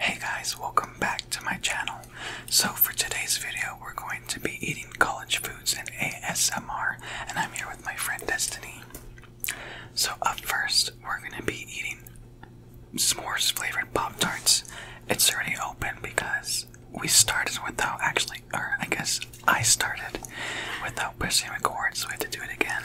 Hey guys, welcome back to my channel. So for today's video, we're going to be eating college foods and ASMR, and I'm here with my friend Destiny. So up first, we're gonna be eating s'mores flavored Pop-Tarts. It's already open because we started without actually, or I guess I started without pushing record, so we had to do it again.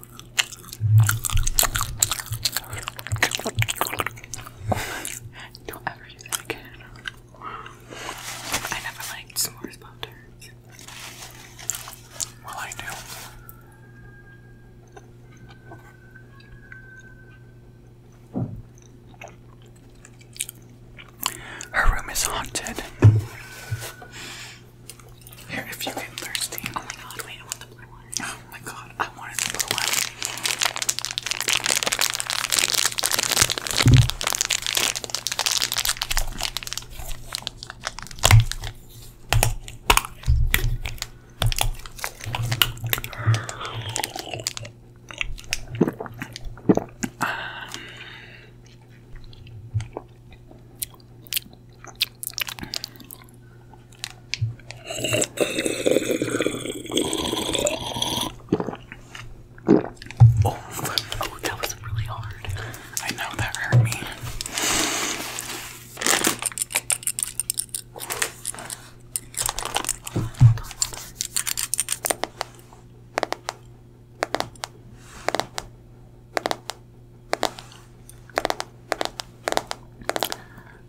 Don't ever do that again. I never liked s'mores butters. Well, I do. Her room is haunted. Here, if you get thirsty. Oh my god, wait, I want the blue Oh my god, I wanted the blue one. Um, Oh, oh, that was really hard. I know that hurt me.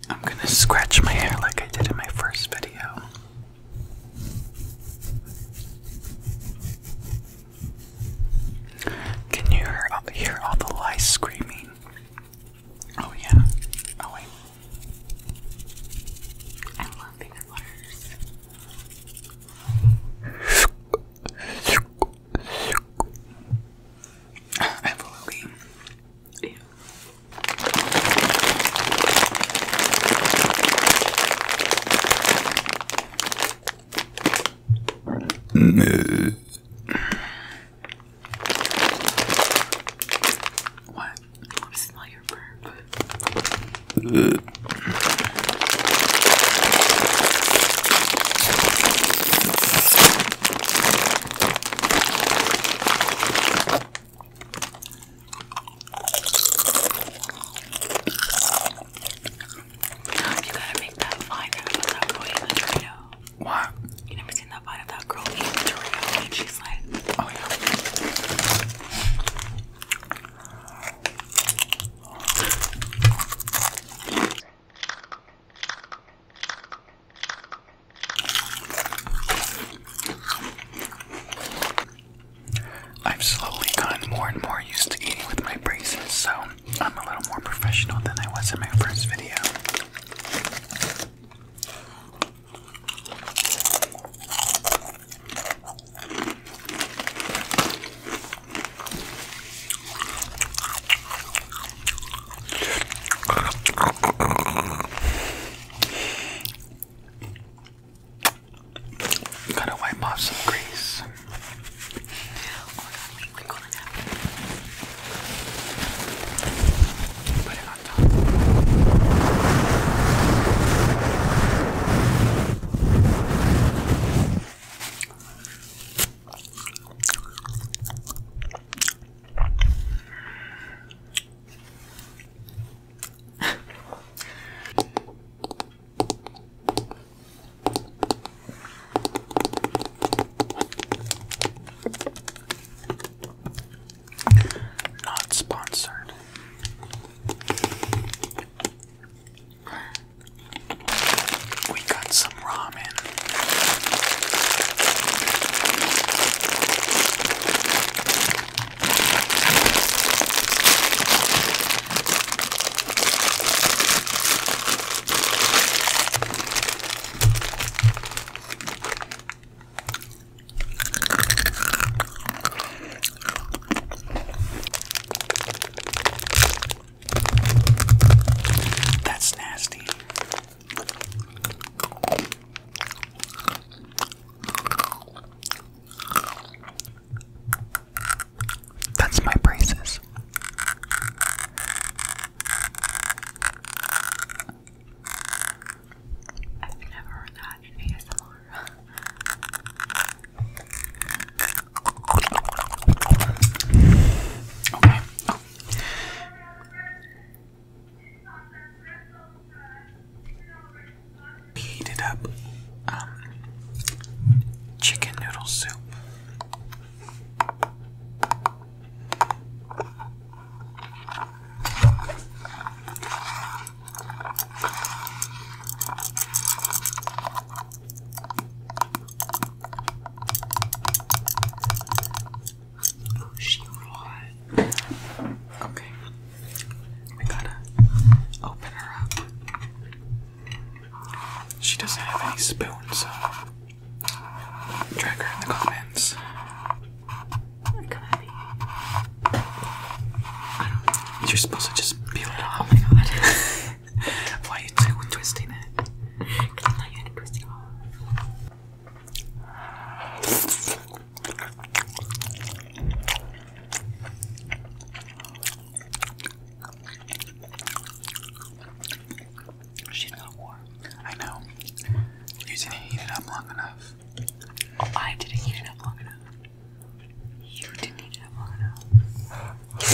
I'm going to scratch my hair like I did in my first video. Can you hear, uh, hear all the lice screaming? Oh, yeah. Oh, wait. I love bigger Absolutely. Yeah. What? Let me smell your burp. You gotta make that vine that about that boy in the Dorito. What? You never seen that vine of that girl eating the Dorito and she's like, oh yeah. I've slowly gotten more and more used to eating with my braces, so I'm a little more professional than I was in my first video. Gotta wipe off some grease. Oh my god, wait, wrinkle it up. Put it on top. Not sponsored. We got some ramen. That's nasty. That's my braces. I've never heard that in ASMR. We it up um, chicken noodle soup. Oh, she hot. Okay. We gotta open her up. She doesn't have any spoons, so drag her in the comments. You're supposed to just peel it off. Oh Why are you two twisting it? Because I thought you it off. She's warm. I know. You didn't heat it up long enough. I didn't heat it up long enough. You didn't heat it up long enough. Oof.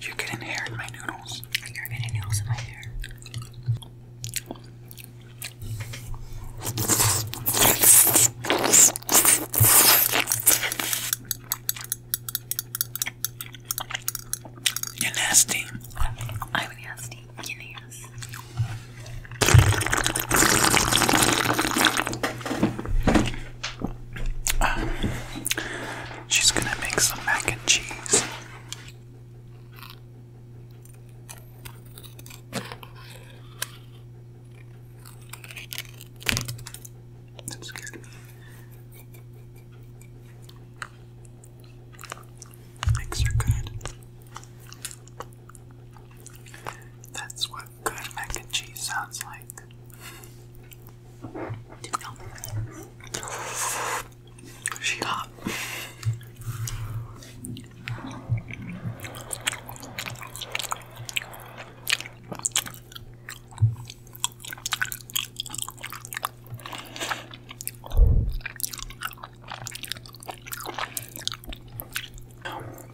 You're getting hair in my noodles. You're getting noodles in my hair. You're nasty. I'm nasty. You're nasty. she's gonna make some mac and cheese. That scared Eggs are good. That's what good mac and cheese sounds like. She got.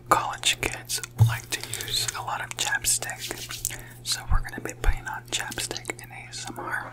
College kids like to use a lot of chapstick, so we're going to be putting on chapstick in ASMR.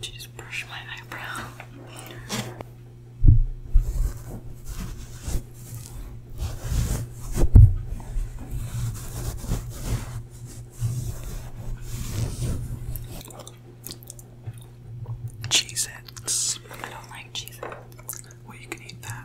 To just brush my eyebrow. Cheese its. I don't like cheese. Well, you can eat that.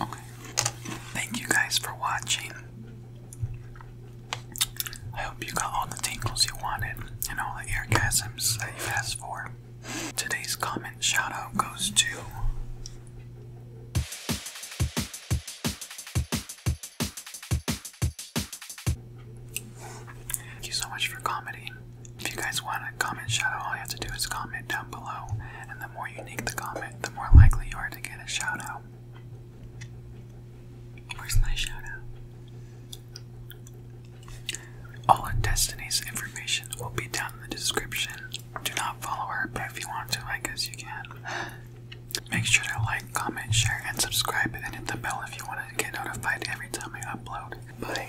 Okay. Thank you guys for watching. I hope you got all the tingles you wanted and all the air that you asked for. Today's comment shout goes to Thank you so much for commenting. If you guys want a comment shout out, all you have to do is comment down below, and the more unique the comment, the more likely you are to get a shout out. Where's my shout out? All of Destiny's information will be down in the description. Do not follow her, but if you want to, I guess you can. Make sure to like, comment, share, and subscribe, and hit the bell if you want to get notified every time I upload. Bye.